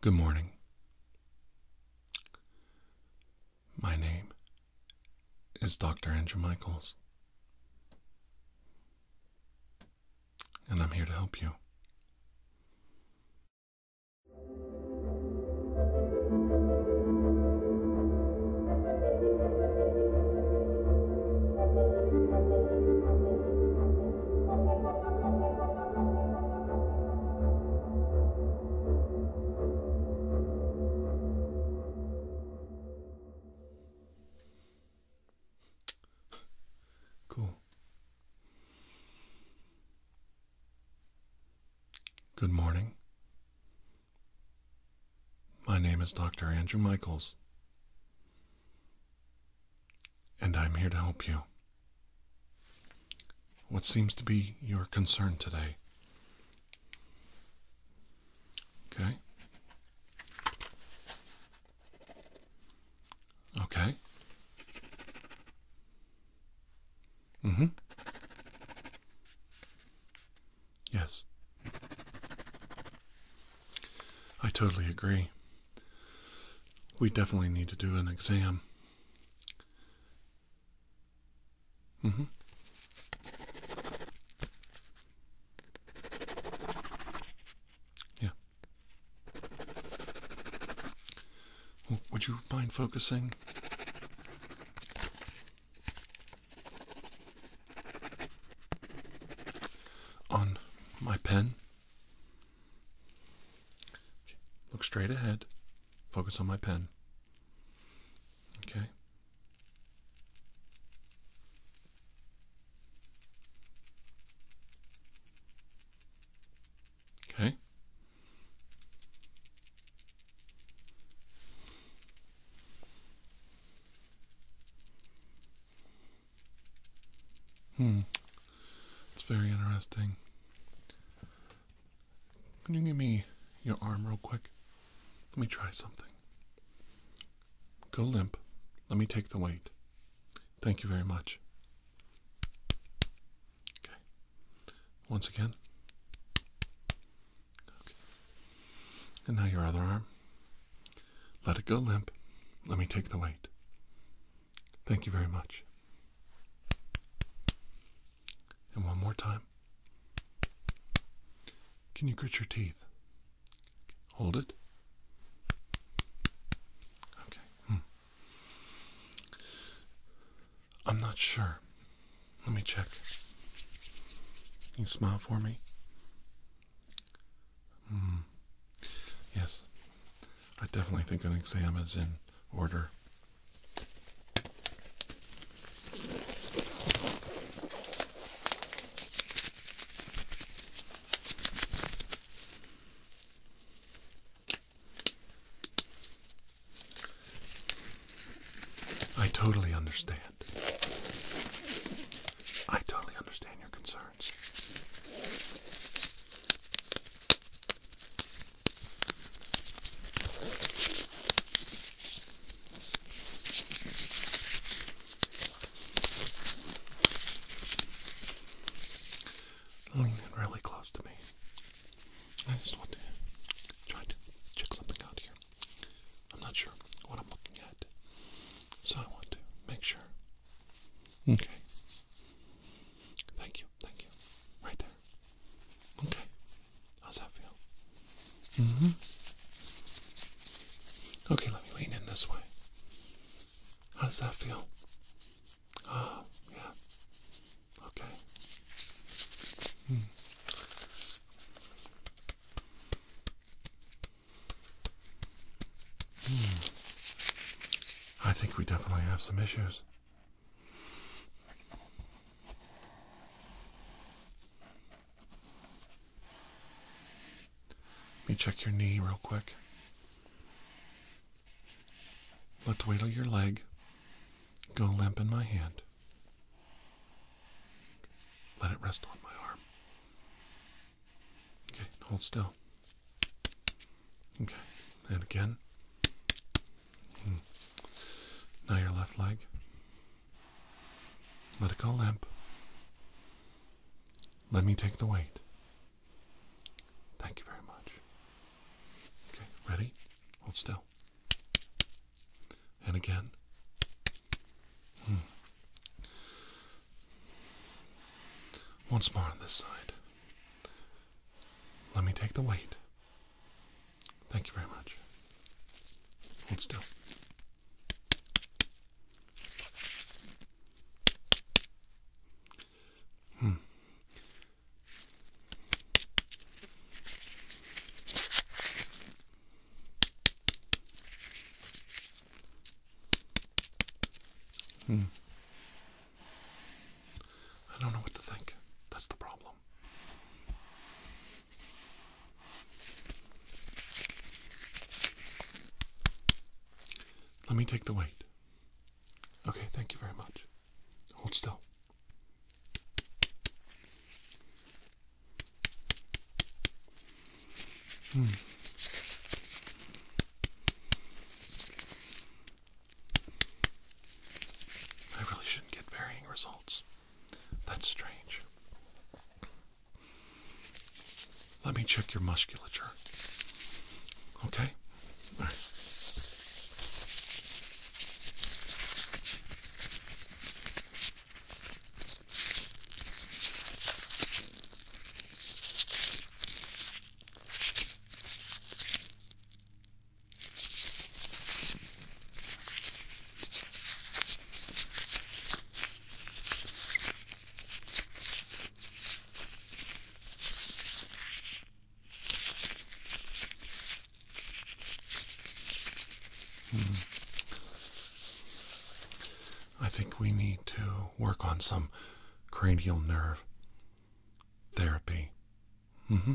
Good morning. My name is Dr. Andrew Michaels, and I'm here to help you. Cool. Good morning. My name is Dr. Andrew Michaels and I'm here to help you. What seems to be your concern today? Okay. Okay. Mm-hmm. Yes. I totally agree we definitely need to do an exam. Mm hmm. Yeah. would you mind focusing? On my pen. Look straight ahead. Focus on my pen. Okay. Okay. Hmm. It's very interesting. Can you give me your arm real quick? Let me try something. Go limp. Let me take the weight. Thank you very much. Okay. Once again. Okay. And now your other arm. Let it go limp. Let me take the weight. Thank you very much. And one more time. Can you grit your teeth? Hold it. Okay. Hmm. I'm not sure. Let me check. Can you smile for me? Hmm. Yes, I definitely think an exam is in order. I totally understand. I totally understand your concern much. really close to me. I just want to try to check something out here. I'm not sure what I'm looking at, so I want to make sure Okay. Thank you, thank you. Right there. Okay. How's that feel? hmm Okay, let me lean in this way. How does that feel? Oh, yeah. Okay. Mm. Hmm. I think we definitely have some issues. Let me check your knee real quick. Let's wiggle your leg. Go limp in my hand. Let it rest on my arm. Okay, hold still. Okay, and again. Hmm. Now your left leg. Let it go limp. Let me take the weight. Thank you very much. Okay, ready? Hold still. And again. Hmm. Once more on this side. Let me take the weight. Thank you very much. Hold still. Hmm. Hmm. I don't know what to think. That's the problem. Let me take the weight. Okay, thank you very much. Hold still. Hmm. I really shouldn't get varying results. That's strange. Let me check your musculature. Okay? Hmm. I think we need to work on some cranial nerve therapy. hmm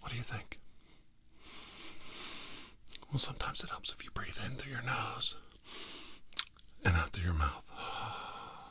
What do you think? Well, sometimes it helps if you breathe in through your nose and out through your mouth.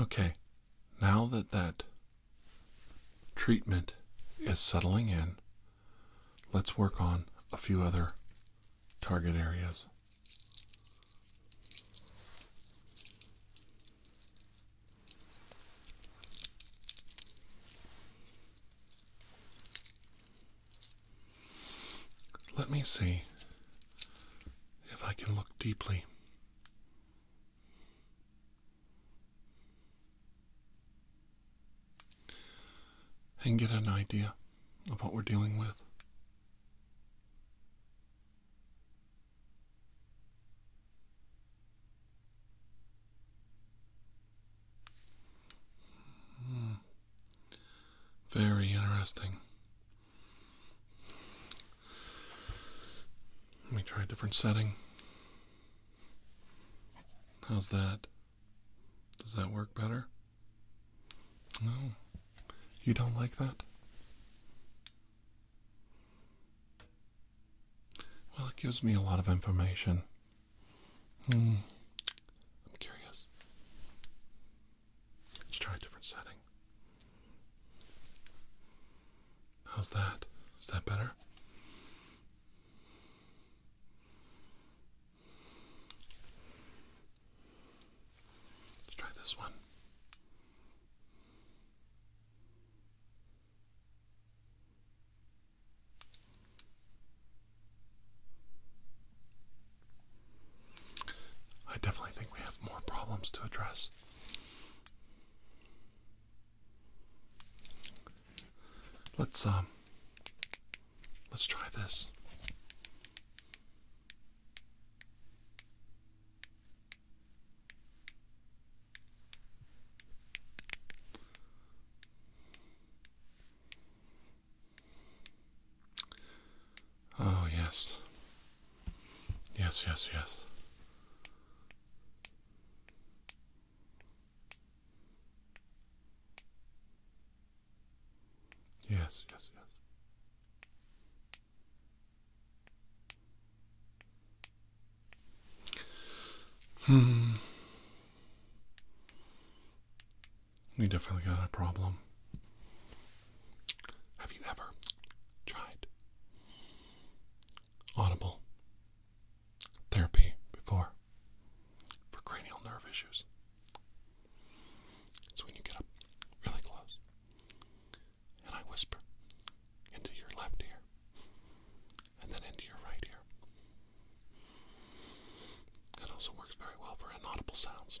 Okay, now that that treatment is settling in, Let's work on a few other target areas. Let me see if I can look deeply and get an idea of what we're dealing with. Hmm. Very interesting. Let me try a different setting. How's that? Does that work better? No. You don't like that? Well, it gives me a lot of information. Hmm. I'm curious. Let's try a different setting. How's that? Is that better? Let's try this one. I definitely think we have more problems to address. Let's um Let's try this. Oh, yes. Yes, yes, yes. Yes, yes, yes. Hmm. We definitely got a problem. Have you ever tried audible therapy before? for cranial nerve issues. It's when you get up really close and I whisper into your left ear and then into your right ear. It also works very well for inaudible sounds.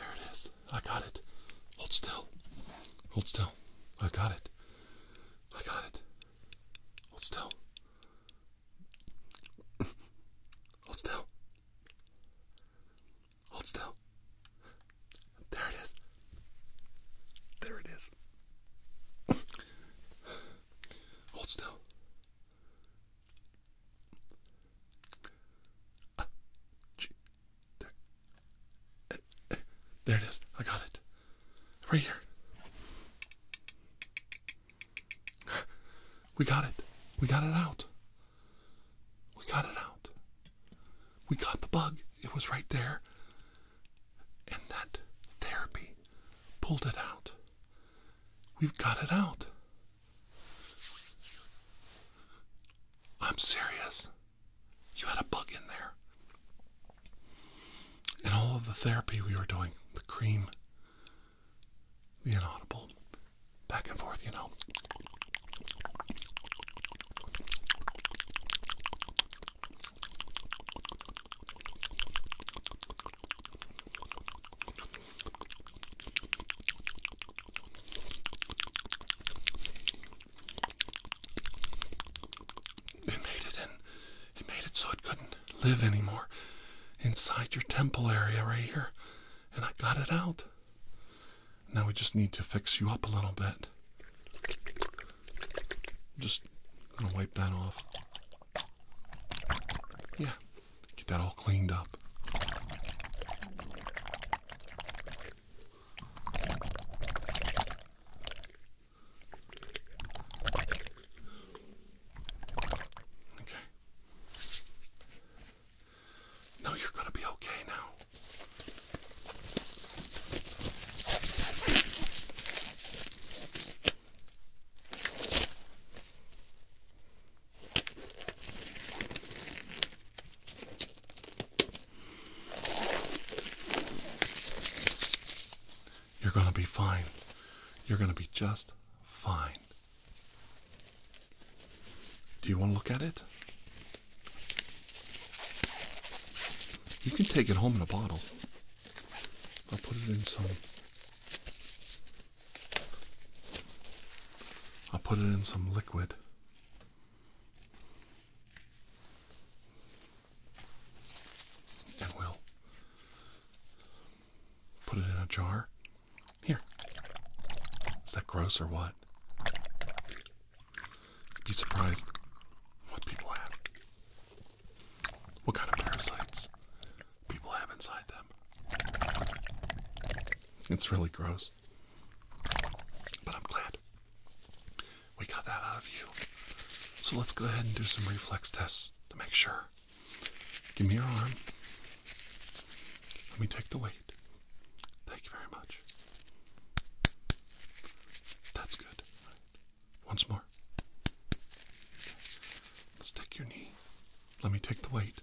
There it is. I got it. Hold still. Hold still. I got it. I got it. Hold still. Hold still. Hold still. There it is. There it is. Hold still. Ah, eh, eh, there it is. I got it. Right here. We got it. We got it out. We got it out. We got the bug. It was right there. And that therapy pulled it out. We've got it out. I'm serious. You had a bug in there. And all of the therapy we were doing, the cream, the inaudible, back and forth, you know. It made it in. It made it so it couldn't live anymore inside your temple area right here. And I got it out. Now we just need to fix you up a little bit. Just gonna wipe that off. Yeah, get that all cleaned up. Okay. No, you're going to be okay now. You're going to be fine. You're going to be just fine. Do you want to look at it? You can take it home in a bottle. I'll put it in some. I'll put it in some liquid. And we'll put it in a jar. Here. Is that gross or what? be surprised what people have. What kind of parasites people have inside them? It's really gross. But I'm glad we got that out of you. So let's go ahead and do some reflex tests to make sure. Give me your arm. Let me take the weight. Thank you very much. That's good. Once more. let your knee. Let me take the weight.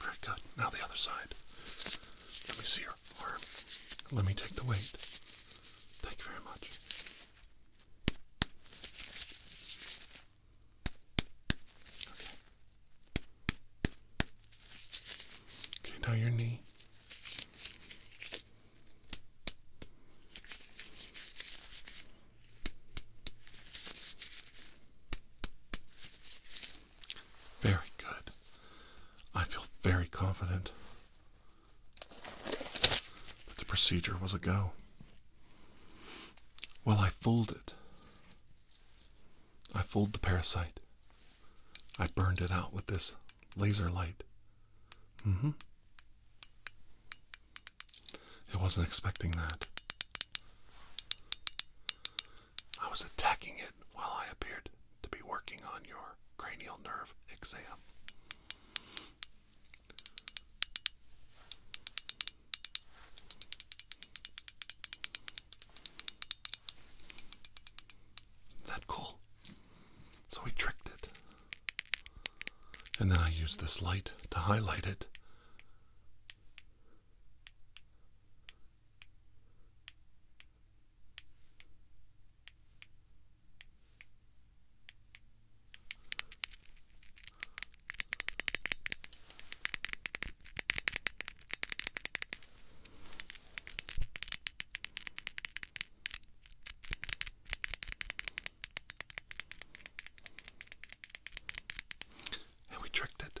Very good. Now the other side. Let me see your arm. Let me take the weight. Thank you very much. Okay, now your knee. Very good. I feel very confident that the procedure was a go. Well, I fooled it. I fooled the parasite. I burned it out with this laser light. Mm hmm. It wasn't expecting that. I was attacking it while I appeared to be working on your cranial nerve exam. Not cool. So we tricked it. And then I used this light to highlight it. And we tricked it.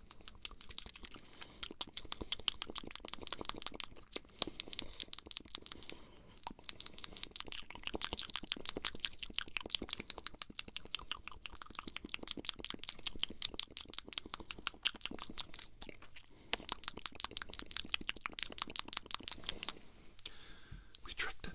We drifted.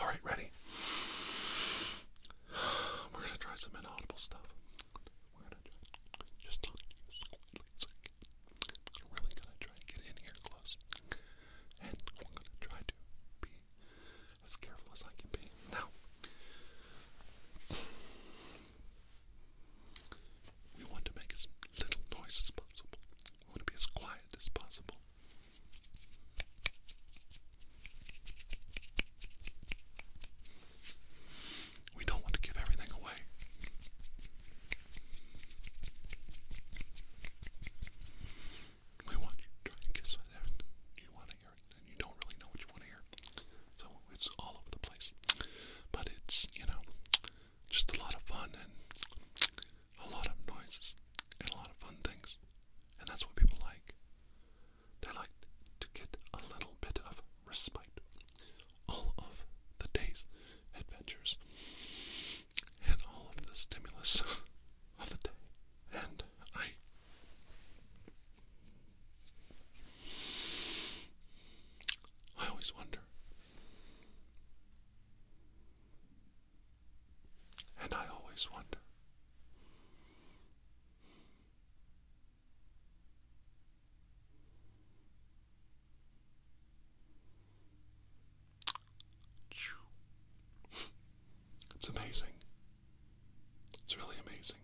All right, ready? We're gonna try some inaudible stuff. We're gonna try, just really gonna try to get in here close, and I'm gonna try to be as careful as I can be. Now, we want to make as little noise as possible. We want to be as quiet as possible. We don't want to give everything away. We want you to try and you want to hear, and you don't really know what you want to hear. It's all over the place. But it's, you know, just a lot of fun and a lot of noises and a lot of fun things. And that's what people like. They like to get a little bit of respite. All of the day's adventures and all of the stimulus of the day. And I I always wonder. And I always wonder. It's amazing. It's really amazing.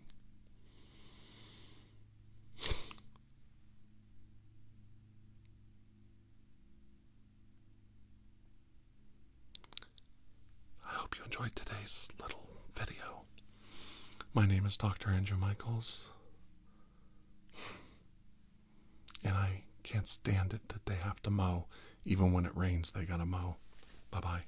I hope you enjoyed today's little video. My name is Dr. Andrew Michaels, and I can't stand it that they have to mow. Even when it rains, they gotta mow. Bye bye.